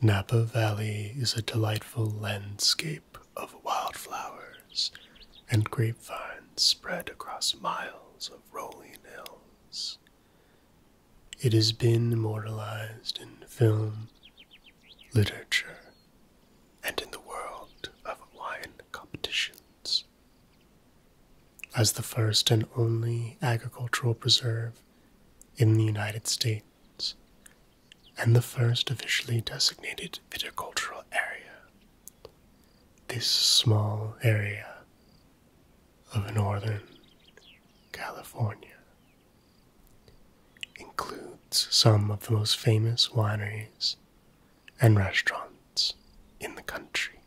Napa Valley is a delightful landscape of wildflowers and grapevines spread across miles of rolling hills. It has been immortalized in film, literature, and in the world of wine competitions. As the first and only agricultural preserve in the United States, and the first officially designated viticultural area. This small area of northern California includes some of the most famous wineries and restaurants in the country.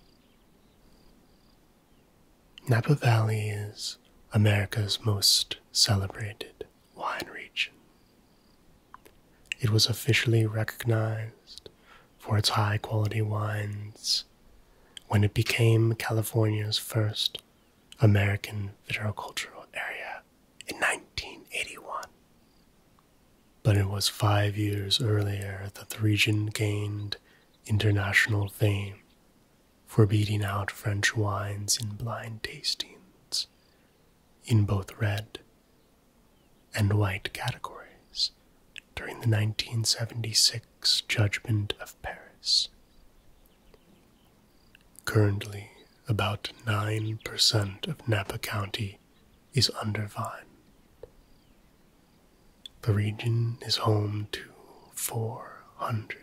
Napa Valley is America's most celebrated wine region. It was officially recognized for its high quality wines when it became California's first American viticultural area in 1981. But it was five years earlier that the region gained international fame for beating out French wines in blind tastings, in both red and white categories, during the 1976 Judgment of Paris. Currently, about 9% of Napa County is under vine. The region is home to 400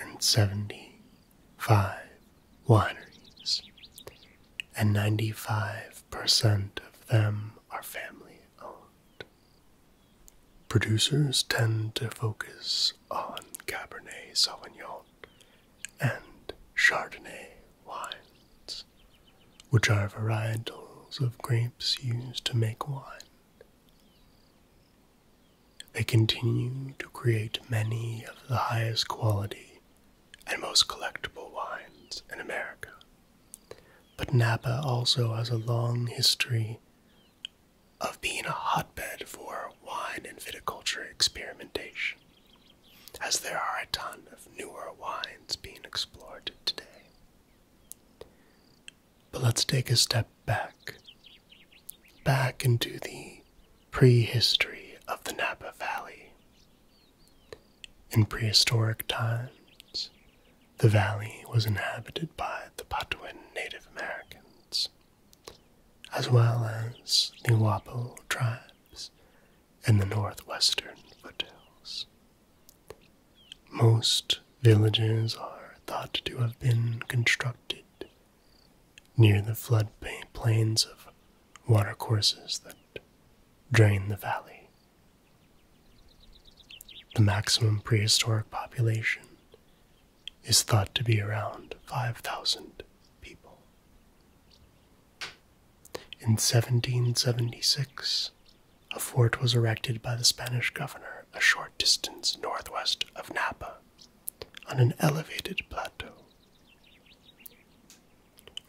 and seventy five wineries, and ninety five percent of them are family owned. Producers tend to focus on Cabernet Sauvignon and Chardonnay wines, which are varietals of grapes used to make wine. They continue to create many of the highest quality and most collectible wines in America. But Napa also has a long history of being a hotbed for wine and viticulture experimentation, as there are a ton of newer wines being explored today. But let's take a step back, back into the prehistory of the Napa Valley. In prehistoric times, the valley was inhabited by the Patuan Native Americans, as well as the Wappo tribes in the northwestern foothills. Most villages are thought to have been constructed near the flood plains of watercourses that drain the valley. The maximum prehistoric population is thought to be around 5,000 people. In 1776, a fort was erected by the Spanish governor ashore distance northwest of Napa on an elevated plateau.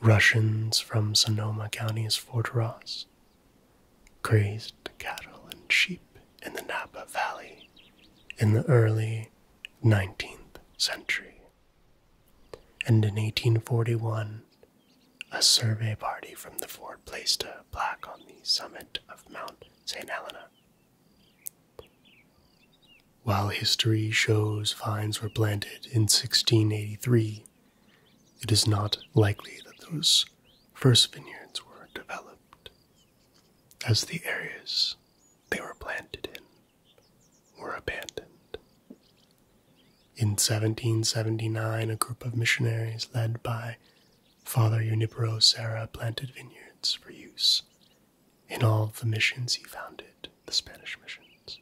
Russians from Sonoma County's Fort Ross grazed cattle and sheep in the Napa Valley in the early 19th century. And in 1841, a survey party from the fort placed a plaque on the summit of Mount St. Helena. While history shows vines were planted in 1683, it is not likely that those first vineyards were developed, as the areas they were planted in were abandoned. In 1779, a group of missionaries led by Father Unipero Serra planted vineyards for use in all the missions he founded, the Spanish missions.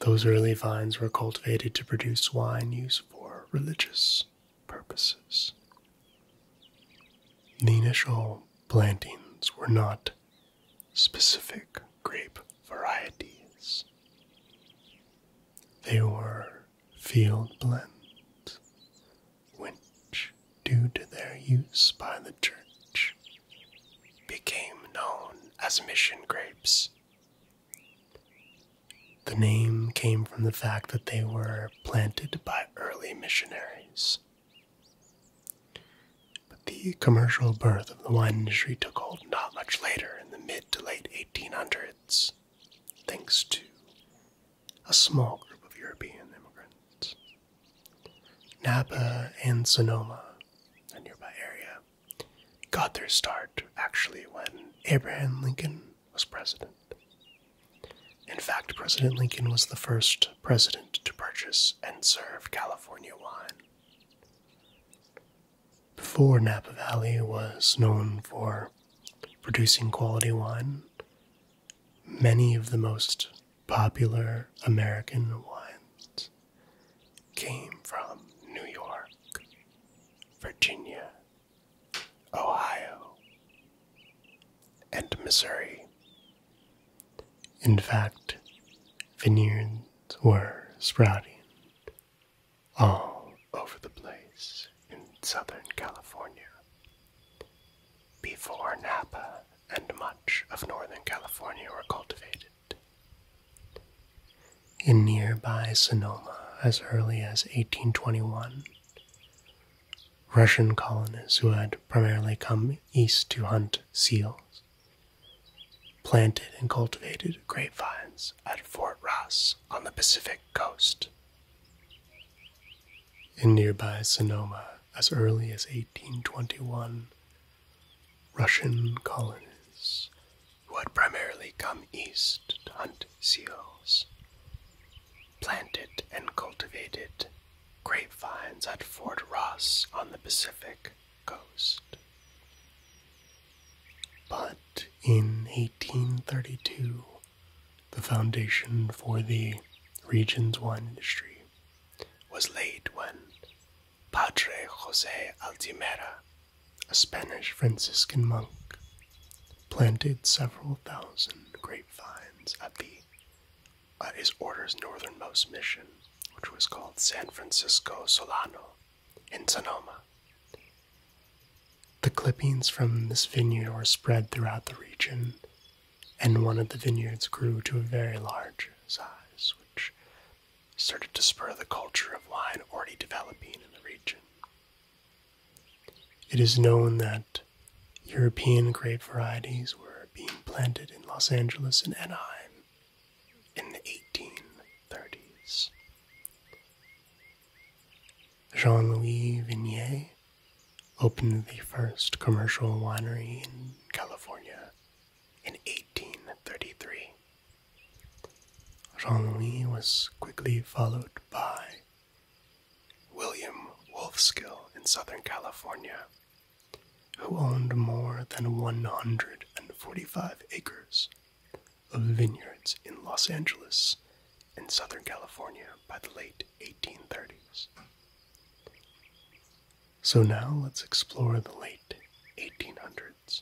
Those early vines were cultivated to produce wine used for religious purposes. The initial plantings were not specific grape varieties. They were field blends, which, due to their use by the church, became known as mission grapes. The name came from the fact that they were planted by early missionaries. But the commercial birth of the wine industry took hold not much later in the mid to late 1800s thanks to a small group of European immigrants. Napa and Sonoma, a nearby area, got their start actually when Abraham Lincoln was president. In fact, President Lincoln was the first president to purchase and serve California wine. Before Napa Valley was known for producing quality wine. Many of the most popular American wines came from New York, Virginia, Ohio, and Missouri. In fact, vineyards were sprouting all over the place in Southern California. Before Napa and much of Northern California were cultivated. In nearby Sonoma, as early as 1821, Russian colonists who had primarily come east to hunt seals planted and cultivated grapevines at Fort Ross on the Pacific coast. In nearby Sonoma, as early as 1821, Russian colonists, who had primarily come east to hunt seals, planted and cultivated grapevines at Fort Ross on the Pacific coast. But in 1832, the foundation for the region's wine industry was laid when Padre Jose Altimera, a Spanish Franciscan monk, planted several thousand grapevines at the at his order's northernmost mission, which was called San Francisco Solano in Sonoma, the clippings from this vineyard were spread throughout the region, and one of the vineyards grew to a very large size, which started to spur the culture of wine already developing in the region. It is known that European grape varieties were being planted in Los Angeles and Anaheim in the 1830s. Jean Louis Vignier opened the first commercial winery in California in 1833. Jean Louis was quickly followed by William Wolfskill in Southern California, who owned more than 145 acres of vineyards in Los Angeles and Southern California by the late 1830s. So now let's explore the late 1800s.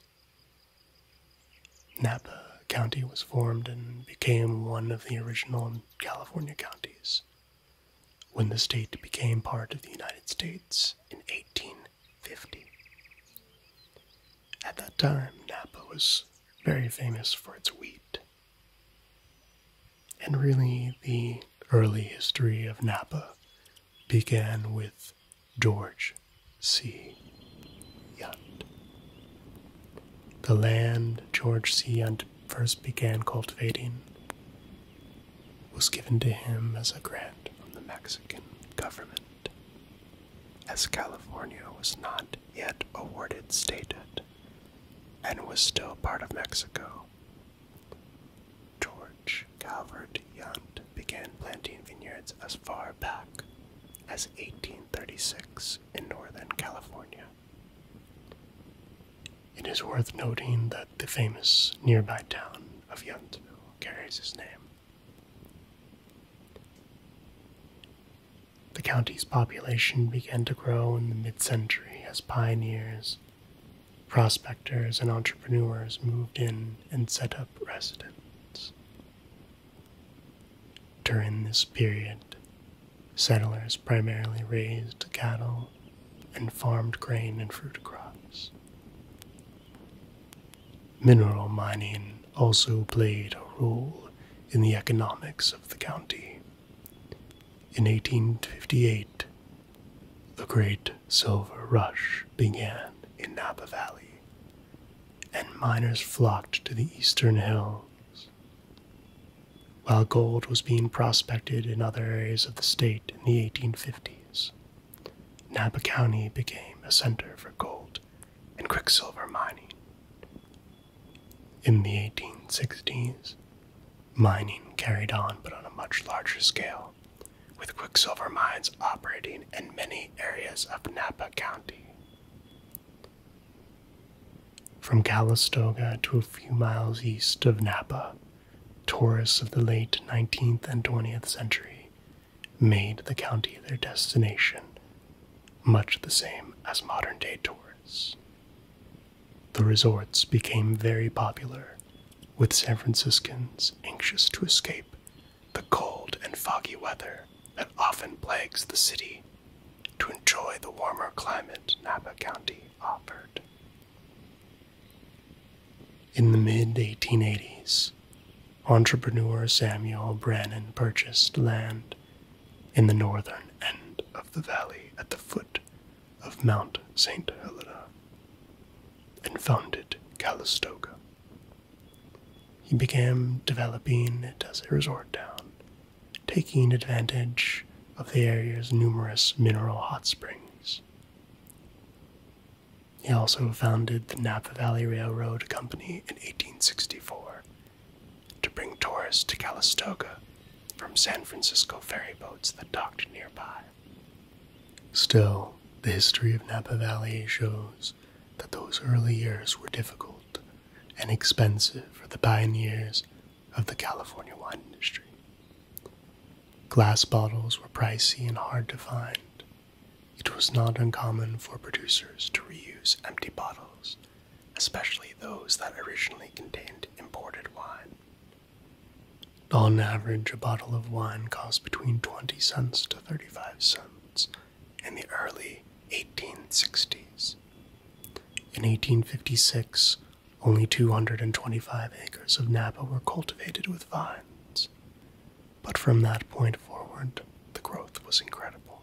Napa County was formed and became one of the original California counties when the state became part of the United States in 1850. At that time, Napa was very famous for its wheat. And really, the early history of Napa began with George C. Yount. The land George C. Yount first began cultivating was given to him as a grant from the Mexican government, as California was not not yet awarded statehood and was still part of Mexico. George Calvert Yount began planting vineyards as far back as 1836 in Northern California. It is worth noting that the famous nearby town of Yountville carries his name. The county's population began to grow in the mid century as pioneers, prospectors, and entrepreneurs moved in and set up residence. During this period, settlers primarily raised cattle and farmed grain and fruit crops. Mineral mining also played a role in the economics of the county. In 1858, the great silver rush began in Napa Valley, and miners flocked to the eastern hills. While gold was being prospected in other areas of the state in the 1850s, Napa County became a center for gold and quicksilver mining, in the 1860s, mining carried on but on a much larger scale, with quicksilver mines operating in many areas of Napa County. From Calistoga to a few miles east of Napa, tourists of the late 19th and 20th century made the county their destination much the same as modern day tours. The resorts became very popular, with San Franciscans anxious to escape the cold and foggy weather that often plagues the city to enjoy the warmer climate Napa County offered. In the mid 1880s, entrepreneur Samuel Brannan purchased land in the northern end of the valley at the foot of Mount St. Helena, and founded Calistoga. He began developing it as a resort town, taking advantage of the area's numerous mineral hot springs. He also founded the Napa Valley Railroad Company in 1864 to bring tourists to Calistoga from San Francisco ferry boats that docked nearby. Still, the history of Napa Valley shows that those early years were difficult and expensive for the pioneers of the California wine industry. Glass bottles were pricey and hard to find. It was not uncommon for producers to reuse empty bottles especially those that originally contained imported wine. On average, a bottle of wine cost between 20 cents to 35 cents in the early 1860s. In 1856, only 225 acres of Napa were cultivated with vines. But from that point forward, the growth was incredible.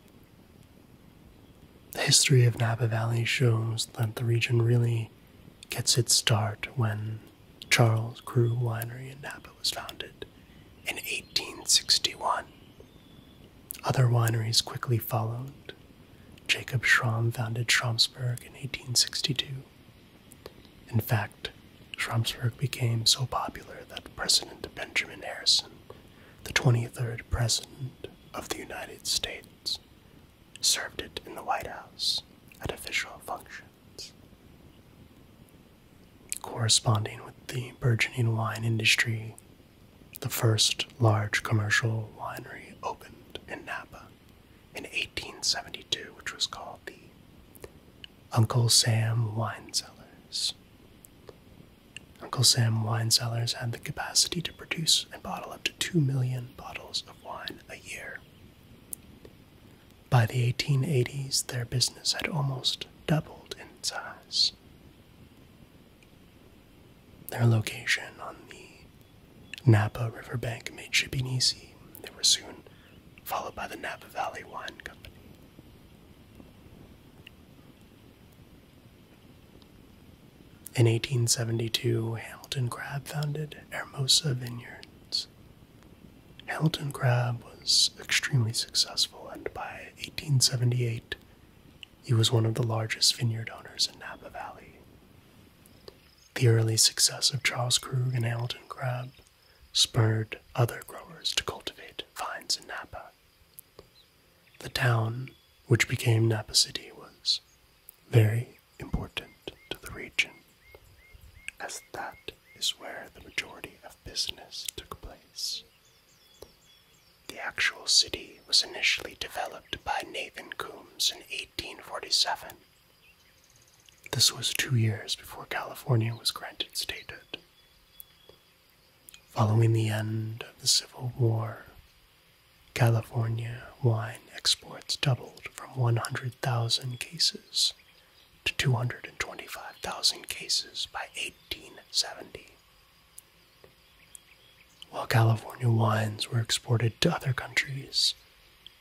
The history of Napa Valley shows that the region really gets its start when Charles Crew Winery in Napa was founded in 1861. Other wineries quickly followed. Jacob Schram founded Schramsberg in 1862. In fact, Schramsberg became so popular that President Benjamin Harrison, the 23rd president of the United States, served it in the White House at official functions. Corresponding with the burgeoning wine industry, the first large commercial winery opened in Napa in 1872, which was called the Uncle Sam Wine Cellars. Uncle Sam wine cellars had the capacity to produce and bottle up to 2 million bottles of wine a year. By the 1880s, their business had almost doubled in size. Their location on the Napa riverbank made shipping easy. They were soon followed by the Napa Valley Wine Company. In 1872, Hamilton Crabbe founded Hermosa Vineyards. Hamilton Crabbe was extremely successful, and by 1878, he was one of the largest vineyard owners in Napa Valley. The early success of Charles Krug and Hamilton Crabbe spurred other growers to cultivate vines in Napa. The town, which became Napa City, was very important to the region, as that is where the majority of business took place. The actual city was initially developed by Nathan Coombs in 1847. This was two years before California was granted statehood. Following the end of the Civil War, California wine exports doubled from 100,000 cases to 225,000 cases by 1870. While California wines were exported to other countries,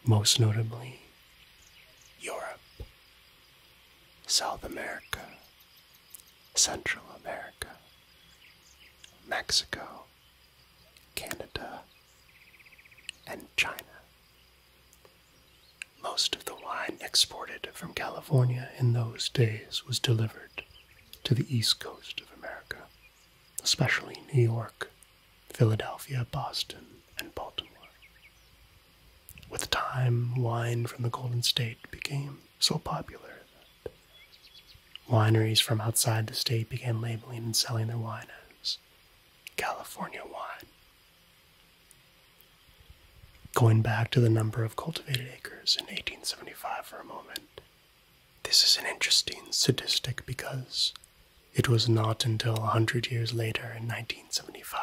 most notably Europe, South America, Central America, Mexico, Canada, and China. Most of the wine exported from California in those days was delivered to the east coast of America, especially New York, Philadelphia, Boston, and Baltimore. With time, wine from the Golden State became so popular that wineries from outside the state began labeling and selling their wines as California wine. Going back to the number of cultivated acres in 1875 for a moment, this is an interesting statistic because it was not until 100 years later in 1975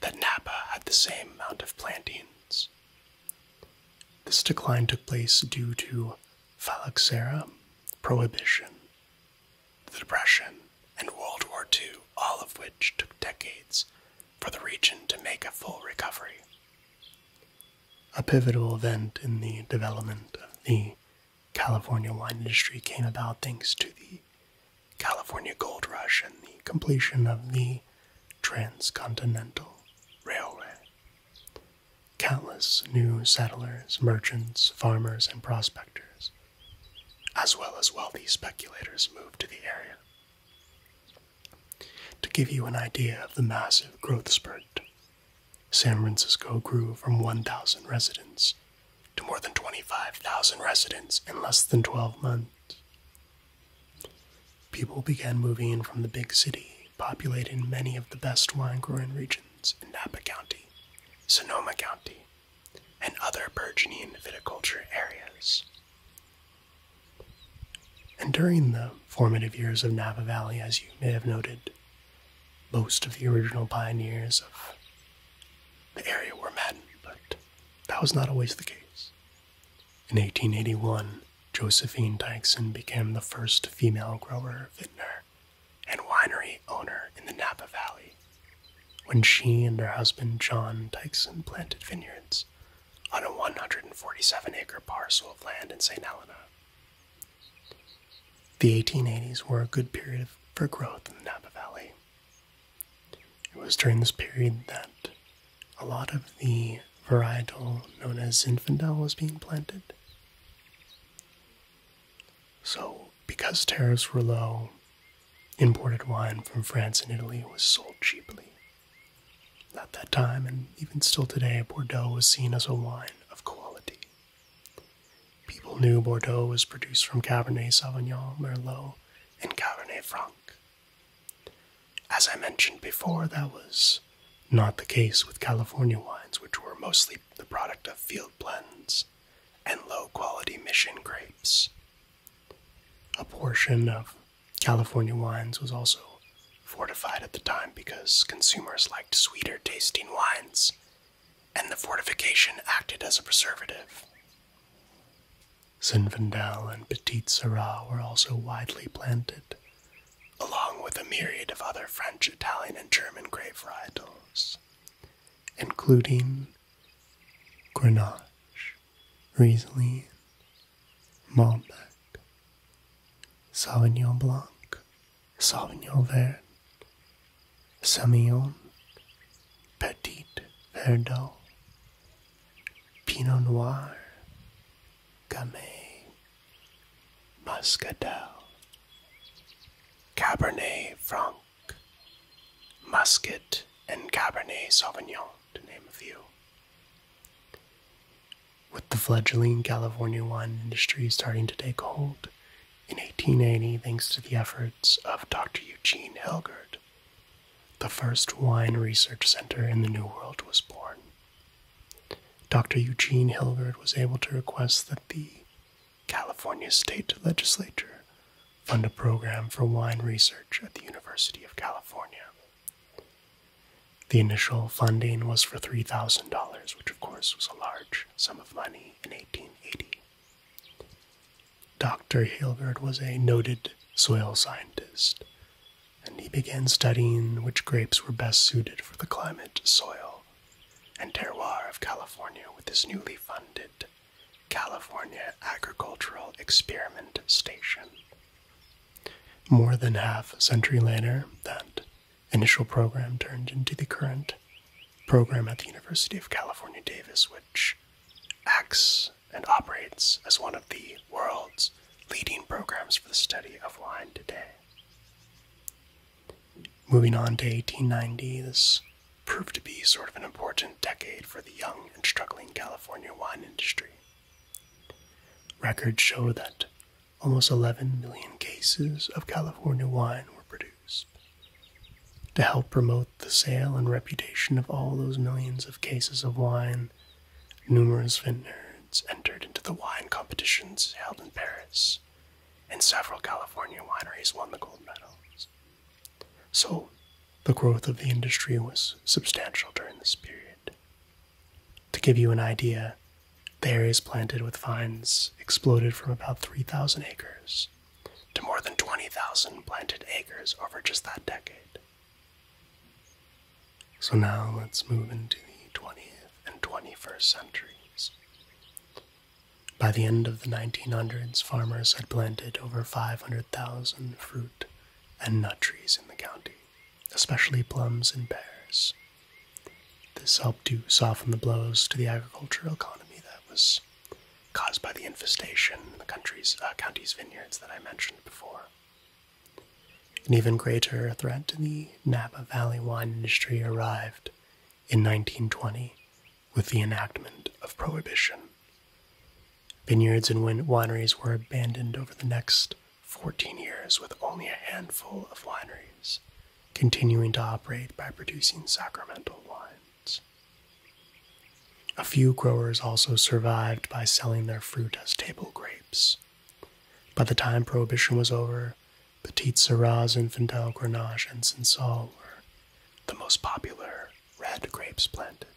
that Napa had the same amount of plantings this decline took place due to phylloxera, prohibition, the Depression, and World War II, all of which took decades for the region to make a full recovery. A pivotal event in the development of the California wine industry came about thanks to the California Gold Rush and the completion of the Transcontinental Railway countless new settlers, merchants, farmers, and prospectors, as well as wealthy speculators, moved to the area. To give you an idea of the massive growth spurt, San Francisco grew from 1,000 residents to more than 25,000 residents in less than 12 months. People began moving from the big city, populating many of the best wine growing regions in Napa County, Sonoma County, and other burgeoning viticulture areas. And during the formative years of Napa Valley, as you may have noted, most of the original pioneers of the area were men, but that was not always the case. In 1881, Josephine Dykeson became the first female grower, vintner, and winery owner in the Napa Valley. When she and her husband John Dykeson planted vineyards on a 147 acre parcel of land in St. Helena. The 1880s were a good period for growth in the Napa Valley. It was during this period that a lot of the varietal known as Zinfandel was being planted. So, because tariffs were low, imported wine from France and Italy was sold cheaply. At that time, and even still today, Bordeaux was seen as a wine of quality. People knew Bordeaux was produced from Cabernet Sauvignon, Merlot, and Cabernet Franc, as I mentioned before, that was not the case with California wines, which were mostly the product of field blends and low quality mission grapes. A portion of California wines was also fortified at the time because consumers liked sweeter tasting wines, and the fortification acted as a preservative. Zinfandel and Petit Syrah were also widely planted, along with a myriad of other French, Italian, and German grape varieties, including Grenache, Riesling, Malbec, Sauvignon Blanc, Sauvignon Vert, Semillon, Petit Verdot, Pinot Noir, Gamay, Muscadel, Cabernet Franc, Muscat, and Cabernet Sauvignon, to name a few. With the fledgling California wine industry starting to take hold in 1880, thanks to the efforts of Dr. Eugene Helgert, the first wine research center in the New World was born. Dr. Eugene Hilgard was able to request that the California State Legislature fund a program for wine research at the University of California. The initial funding was for $3,000, which of course was a large sum of money in 1880. Dr. Hilgard was a noted soil scientist and he began studying which grapes were best suited for the climate, soil, and terroir of California with his newly funded California Agricultural Experiment Station. More than half a century later, that initial program turned into the current program at the University of California, Davis, which acts and operates as one of the world's leading programs for the study of wine today. Moving on to 1890, this proved to be sort of an important decade for the young and struggling California wine industry. Records show that almost 11 million cases of California wine were produced. To help promote the sale and reputation of all those millions of cases of wine, Numerous vineyards entered into the wine competitions held in Paris, and several California wineries won the gold medals. So, the growth of the industry was substantial during this period. To give you an idea, the areas planted with vines exploded from about 3,000 acres to more than 20,000 planted acres over just that decade. So now let's move into the 20th and 21st centuries. By the end of the 1900s, farmers had planted over 500,000 fruit and nut trees in the county, especially plums and pears. This helped to soften the blows to the agricultural economy that was caused by the infestation in the country's, uh, county's vineyards that I mentioned before. An even greater threat to the Napa Valley wine industry arrived in 1920 with the enactment of Prohibition. Vineyards and wineries were abandoned over the next 14 years, with only a handful of wineries continuing to operate by producing sacramental wines. A few growers also survived by selling their fruit as table grapes by the time Prohibition was over, Petit Syrahs, Infantile Grenache, and Sensal were the most popular red grapes planted.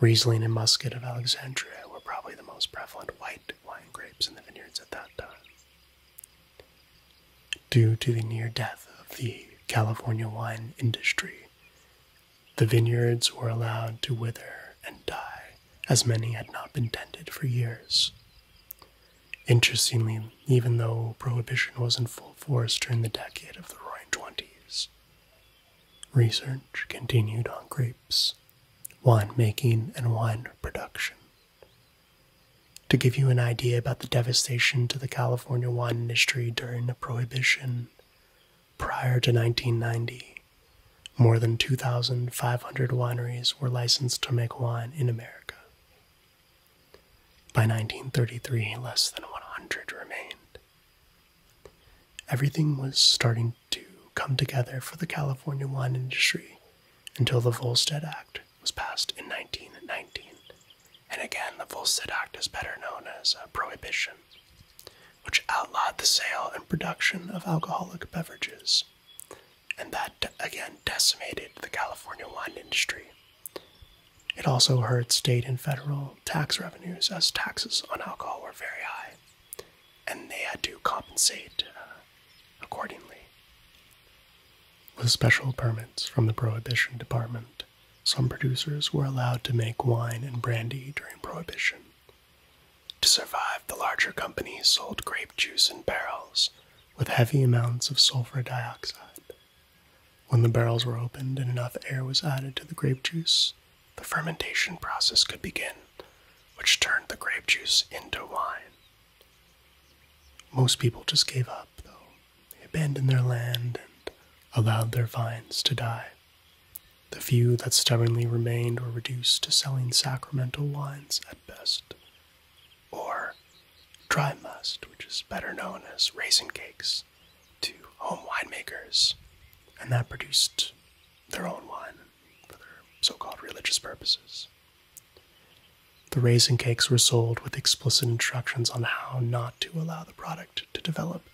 Riesling and Muscat of Alexandria were probably the most prevalent white wine grapes in the vineyards at that time. Due to the near death of the California wine industry, the vineyards were allowed to wither and die as many had not been tended for years. Interestingly, even though prohibition was in full force during the decade of the roaring 20s, research continued on grapes, winemaking, and wine production. To give you an idea about the devastation to the California wine industry during the prohibition, Prior to 1990, more than 2,500 wineries were licensed to make wine in America. By 1933, less than 100 remained. Everything was starting to come together for the California wine industry until the Volstead Act was passed in 1919. And again, the Volstead Act is better known as prohibition which outlawed the sale and production of alcoholic beverages. And that again decimated the California wine industry. It also hurt state and federal tax revenues as taxes on alcohol were very high, and they had to compensate uh, accordingly. With special permits from the Prohibition Department, some producers were allowed to make wine and brandy during Prohibition, to survive, the larger companies sold grape juice in barrels with heavy amounts of sulfur dioxide. When the barrels were opened and enough air was added to the grape juice, the fermentation process could begin, which turned the grape juice into wine. Most people just gave up, though. They abandoned their land and allowed their vines to die the few that stubbornly remained were reduced to selling sacramental wines at best, or dry must, which is better known as raisin cakes, to home winemakers, and that produced their own wine for their so called religious purposes. The raisin cakes were sold with explicit instructions on how not to allow the product to develop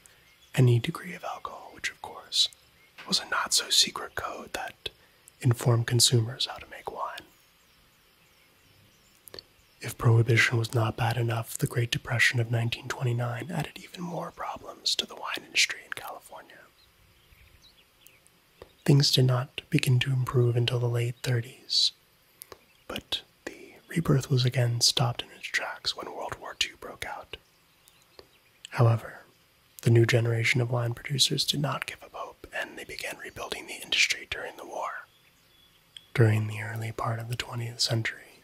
any degree of alcohol, which of course was a not so secret code that informed consumers how to make wine. If Prohibition was not bad enough, the Great Depression of 1929 added even more problems to the wine industry in California. Things did not begin to improve until the late 30s, but the rebirth was again stopped in its tracks when World War II broke out. However, the new generation of wine producers did not give up hope and they began rebuilding the industry during the war. During the early part of the 20th century,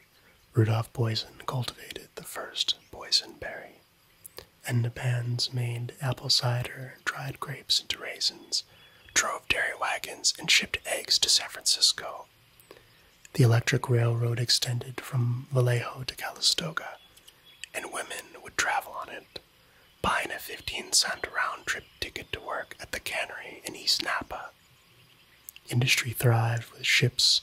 Rudolph Boysen cultivated the first Boysen berry, and Nepans made apple cider, dried grapes into raisins, drove dairy wagons, and shipped eggs to San Francisco. The electric railroad extended from Vallejo to Calistoga and women would travel on it, buying a 15 cent round trip ticket to work at the cannery in East Napa. Industry thrived with ships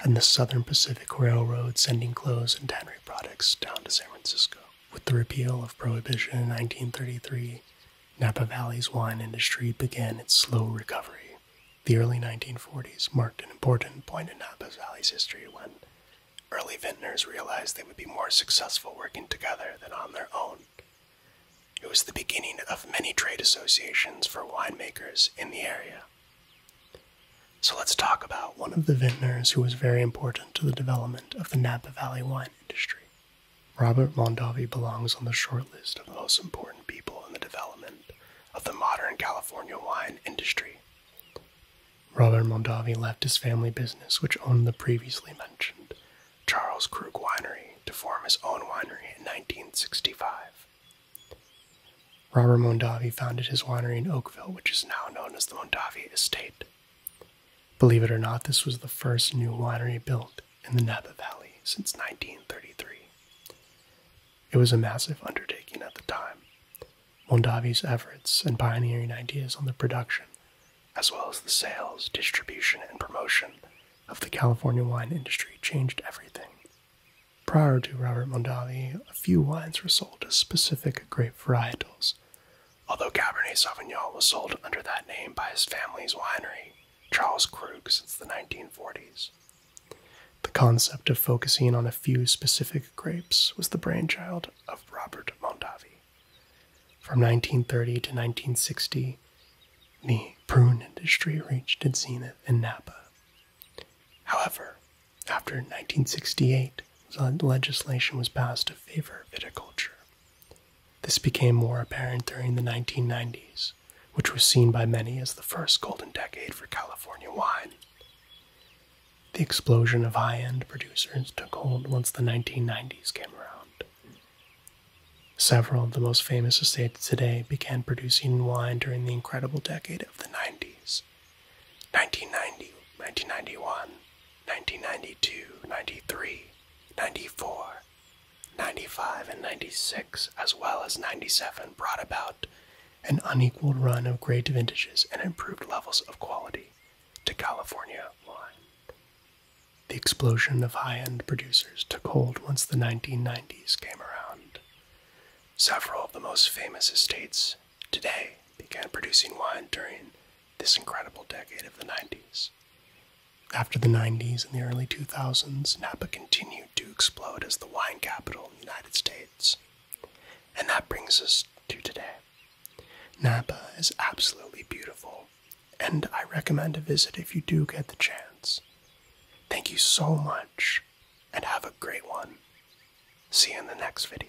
and the Southern Pacific Railroad sending clothes and tannery products down to San Francisco. With the repeal of Prohibition in 1933, Napa Valley's wine industry began its slow recovery, the early 1940s marked an important point in Napa Valley's history when early vintners realized they would be more successful working together than on their own. It was the beginning of many trade associations for winemakers in the area. So let's talk about one of the vintners who was very important to the development of the Napa Valley wine industry. Robert Mondavi belongs on the short list of most important people in the development of the modern California wine industry. Robert Mondavi left his family business, which owned the previously mentioned Charles Krug Winery, to form his own winery in 1965. Robert Mondavi founded his winery in Oakville, which is now known as the Mondavi Estate. Believe it or not, this was the first new winery built in the Napa Valley since 1933. It was a massive undertaking at the time, Mondavi's efforts and pioneering ideas on the production, as well as the sales, distribution, and promotion of the California wine industry changed everything. Prior to Robert Mondavi, a few wines were sold as specific grape varietals, although Cabernet Sauvignon was sold under that name by his family's winery, Charles Krug, since the 1940s. The concept of focusing on a few specific grapes was the brainchild of Robert Mondavi. From 1930 to 1960, the prune industry reached its zenith in Napa. However, after 1968, legislation was passed to favor viticulture. This became more apparent during the 1990s, which was seen by many as the first golden decade for California wine. The explosion of high end producers took hold once the 1990s came around. Several of the most famous estates today began producing wine during the incredible decade of the 90s 1990, 1991, 1992, 1993, 1994, 1995, and 1996, as well as 1997, brought about an unequaled run of great vintages and improved levels of quality to California wine. The explosion of high end producers took hold once the 1990s came around. Several of the most famous estates today began producing wine during this incredible decade of the 90s. After the 90s and the early 2000s, Napa continued to explode as the wine capital of the United States. And that brings us to today. Napa is absolutely beautiful, and I recommend a visit if you do get the chance. Thank you so much, and have a great one. See you in the next video.